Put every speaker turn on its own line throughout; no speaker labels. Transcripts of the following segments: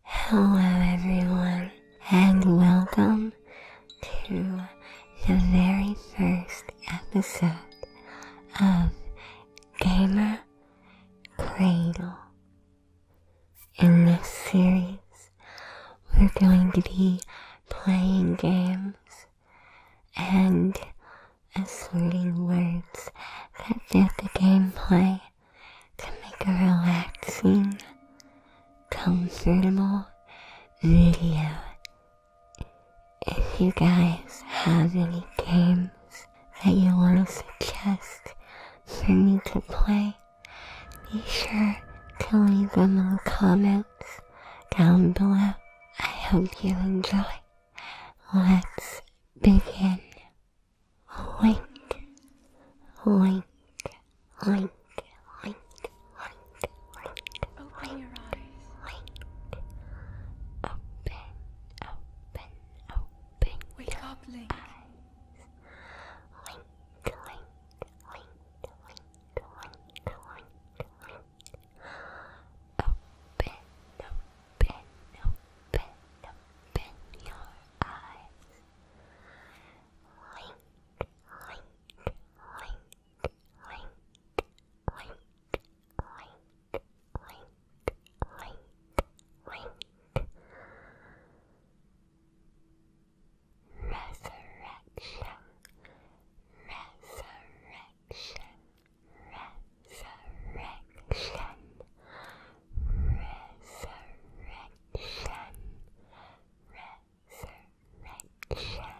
Hello, everyone, and welcome to the very first episode of Gamer Cradle. In this series, we're going to be playing games and asserting words that fit the gameplay to make a relaxing, comfortable video. If you guys have any games that you want to suggest for me to play, be sure to leave them in the comments down below. I hope you enjoy. Let's begin. Oink, oink, oink, oink, oink, oink. Open your eyes. Oink. Open, open, open. Wake up, Link. Eyes. Link, link, link, link, link, link, link. Open, open, open, open your eyes. Link, link, link, link, link, link, link, link, link. Resurrection, resurrection, resurrection resurrection, resurrection, resurrection, shrine,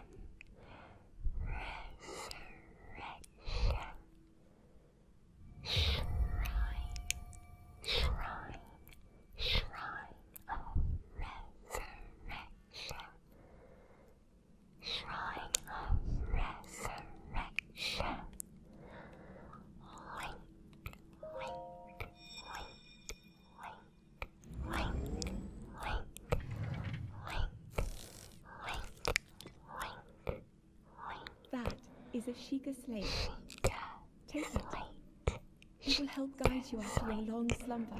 shrine,
shrine of resurrection, shrine of resurrection, link. That is a shika slave. Sheikah Take slate. it. will help guide you after your long slumber.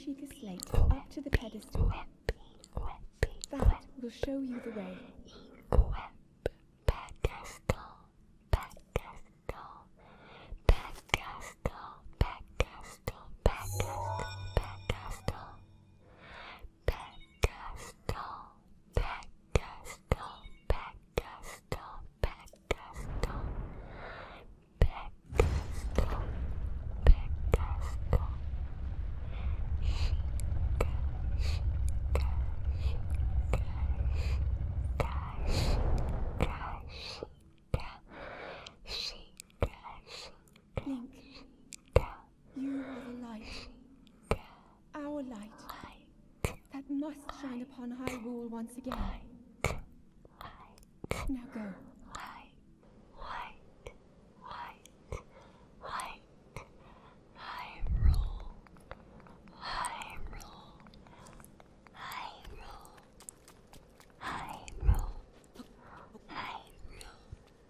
She slate up to the pedestal. That will show you the way. Pedestal, pedestal,
pedestal, pedestal, pedestal, pedestal. Pegasto, Pegasto, Pegasto, Pegasto, Pegasto, Pegasto, Shika,
Shika, Shika, Shika, Shika, Shika, Shika, Shika, Shika, you are the light. Our light. That must shine upon Hyrule once again. Now Light, light, light, light. Hyrule. Hyrule. Hyrule. Hyrule. Hyrule.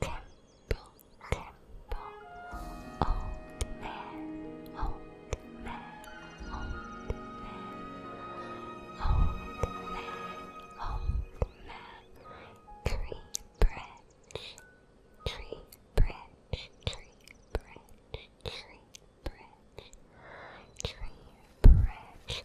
temple, temple, old man, old man, old man, old man, tree branch, tree branch, tree branch, tree branch, tree branch.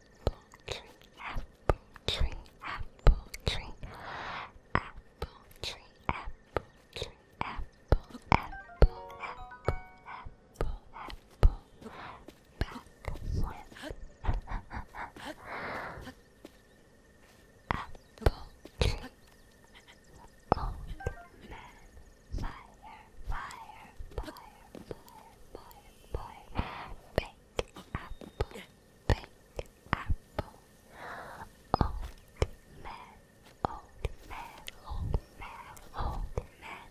apple tree, apple tree, apple tree, apple tree, apple tree, apple, apple, apple, apple, apple, back with apple tree, old man, fire, fire, fire, fire apple, boy. Big apple, big apple. Old man, old man, old man, old man. Old man,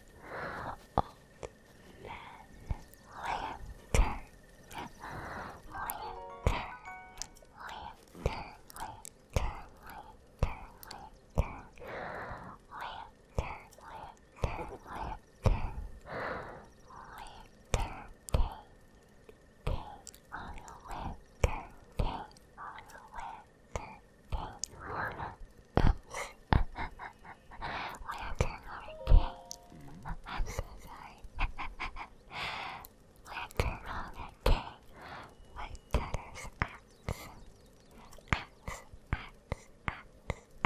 lantern, lantern, lantern, lantern, lantern, lantern. Lantern, lantern, I'm so sorry. What the wrong again? My daughter's axe. Axe, axe, axe,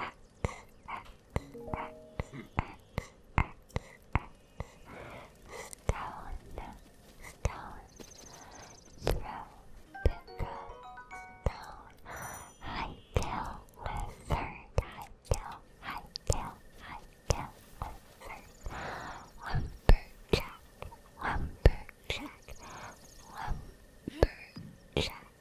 axe. Stone, stone, throw, pick up, stone, hightail, lizard, hightail, hightail, hightail, lizard, lumberjack, lumberjack, lumberjack,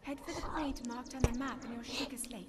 Head for the point marked on the map and you'll shake a slate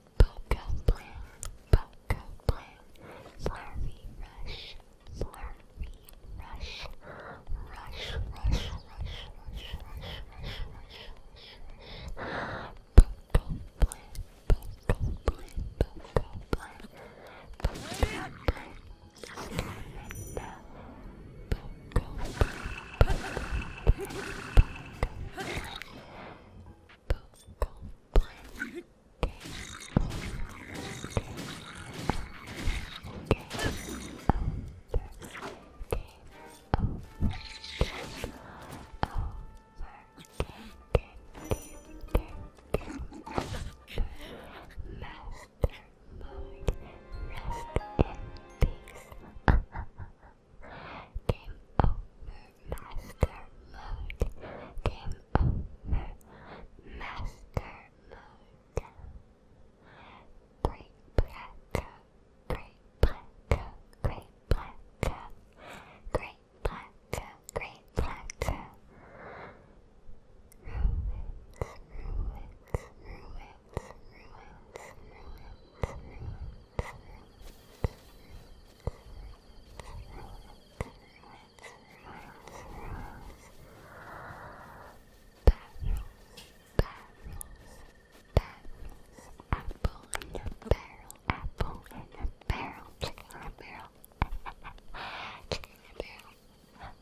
Poco Plan, Poco Plan, Slurvy Rush, Slurvy Rush, Rush, Rush, Rush, Rush, Rush, Rush, Rush, Rush, Poco Plan, Poco Plan, Poco Plan, Poco Plan, Scaramanda, Poco Plan, Poco Plan, Poco Plan, Poco Plan, Rest in peace. Game over master mode. Game over master mode. Great black, great black, great black, great black, great black. Ruins, ruins, ruins, ruins, ruins, Apple in a barrel, apple in a barrel, chicken in a barrel, chicken in a barrel.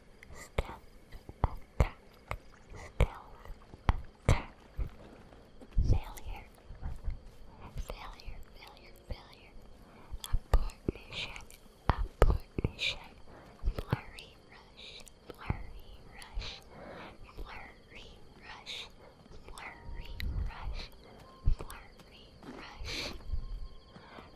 stealth attack, failure, failure, failure, failure, abortion, abortion, flurry rush, flurry rush, flurry rush, flurry rush, flurry rush.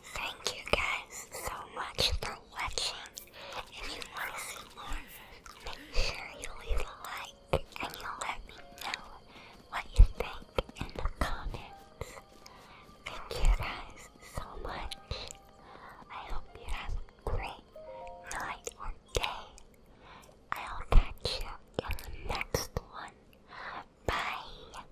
Thank you guys so much for watching. If you want to see more, make sure you leave a like and you let me know what you think in the comments. Thank you guys so much. I hope you have a great night or day. I'll catch you in the next one. Bye.